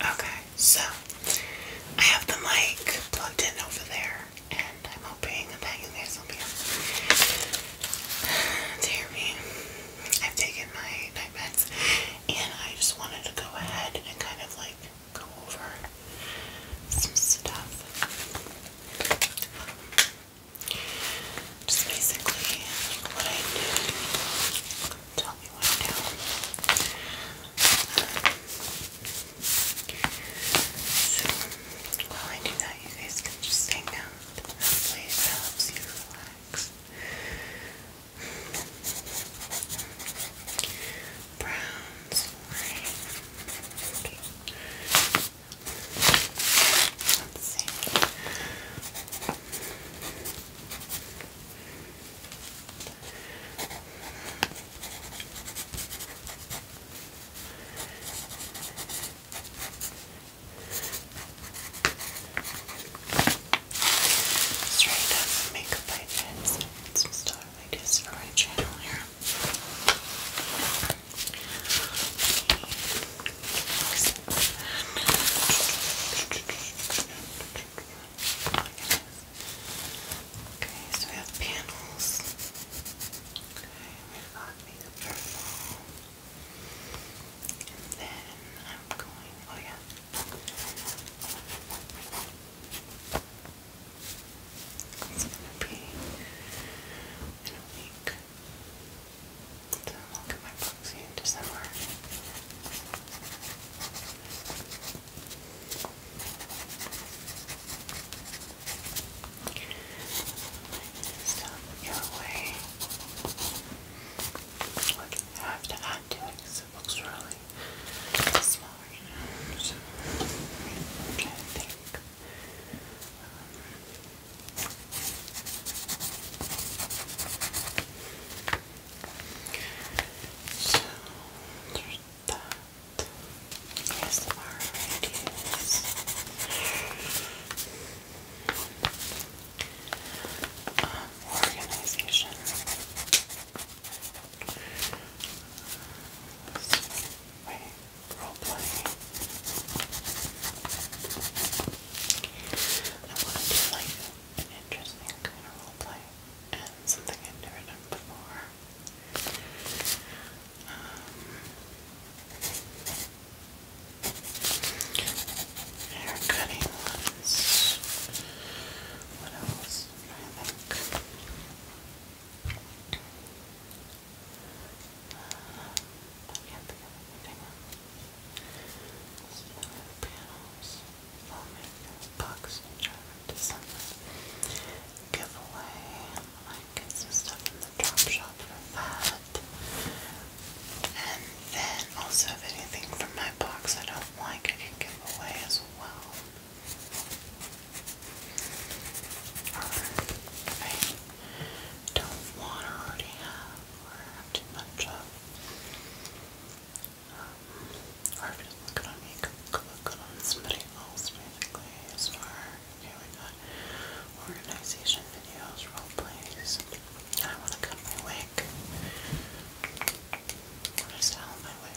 Okay, so I have the mic plugged in over there, and I'm hoping that you guys will be able to hear me. I've taken my night meds, and I just wanted to go ahead and kind of like go over some stuff. Just basically what I did. Tell me what I do. Um, so while I do that, you guys can just hang out. Hopefully it helps you relax. Browns, Let's see. Let's try to some makeup ideas and some stuff ideas for my channel here. Okay, so we have panels. Okay, we've got the And then I'm going, oh yeah. It's gonna be in a week. Didn't look at my books in December. Stop your way. I have to add to it it looks really small right think. So there's that. Yes, um, organization. This role playing. I want to do like an interesting kind of role and something I've never done before. Um, ones. What else? I think. I can't think of anything else. Similar panels, filmmaker, books, driver, December. Giveaway. I get some stuff in the drop shop for that. And then also if anything from my box I don't like I can give away as well. Or if don't want or already have or have too much of. or if it doesn't me, could look good somebody else basically as far we got organization videos, role plays. I wanna cut my wig. I'm to style my wig.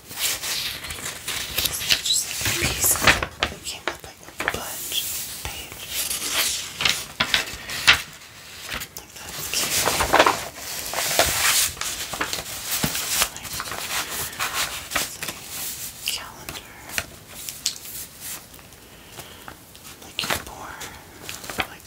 This just like pieces that came up like a bunch of Like that's cute. Like, calendar. Like your born, like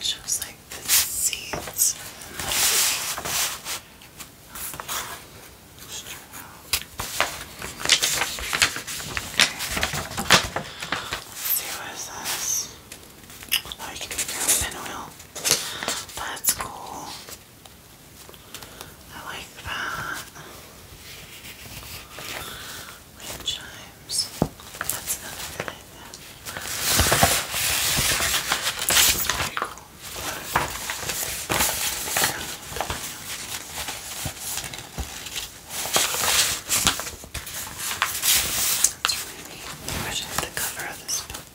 It's just like the seeds okay. let Oh, you can make your own pin That's cool. I like that. Wind chimes. That's another good idea. That's the cover of this book.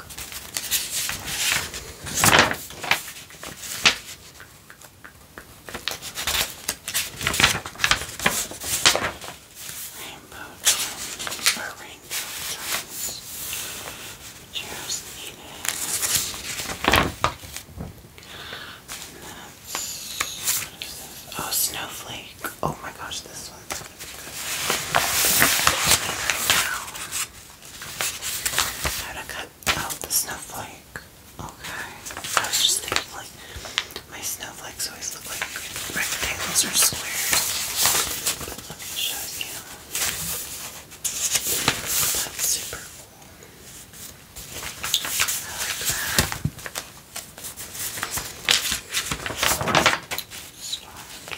Rainbow charms or rainbow charms. Just need it. That's what is this? Oh, snowflake. Oh my gosh, this one's gonna be good. I right now. How to cut out the snowflake. Okay. I was just thinking like my snowflakes always look like rectangles or squares. But let me show you. That's super cool. I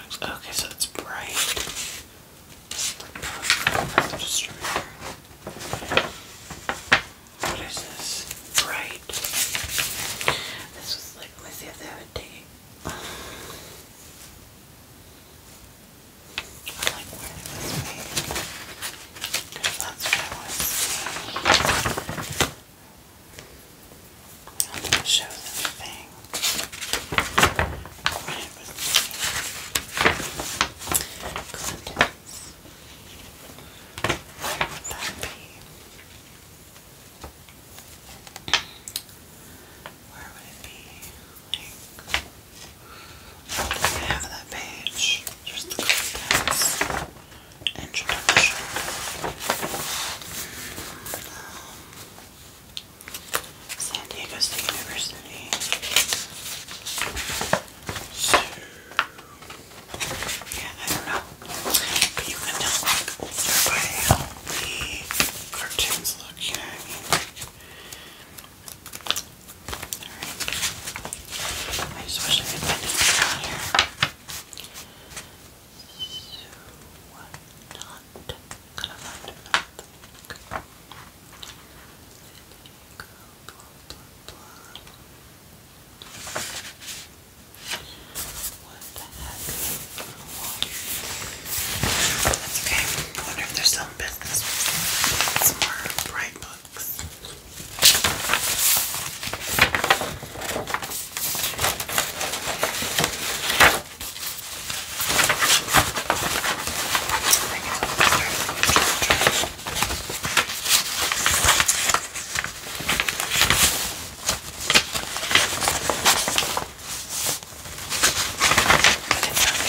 Okay, so it's bright. That's What is this? Bright. This was like, let me see like where it I'm going to show them the thing. Right with contents. Where would that be? Where would it be? half of that page. Just the contents introduction. San Diego State University. yeah, I don't know. But you can tell, by how the cartoons look, you I just wish I could find it out here. So not gonna find nothing. Go, blah, blah, blah. What the heck? That's okay. wonder if they're still in business. It's more bright blue books. But it's not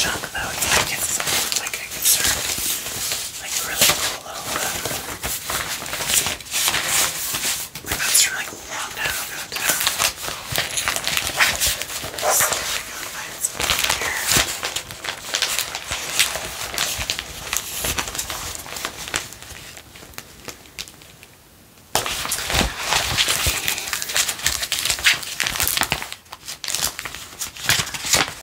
junk though, it's like it's like a concern. Like a really cool little uh, like that's from like a long time ago too. Let's see if we can find something here. Okay.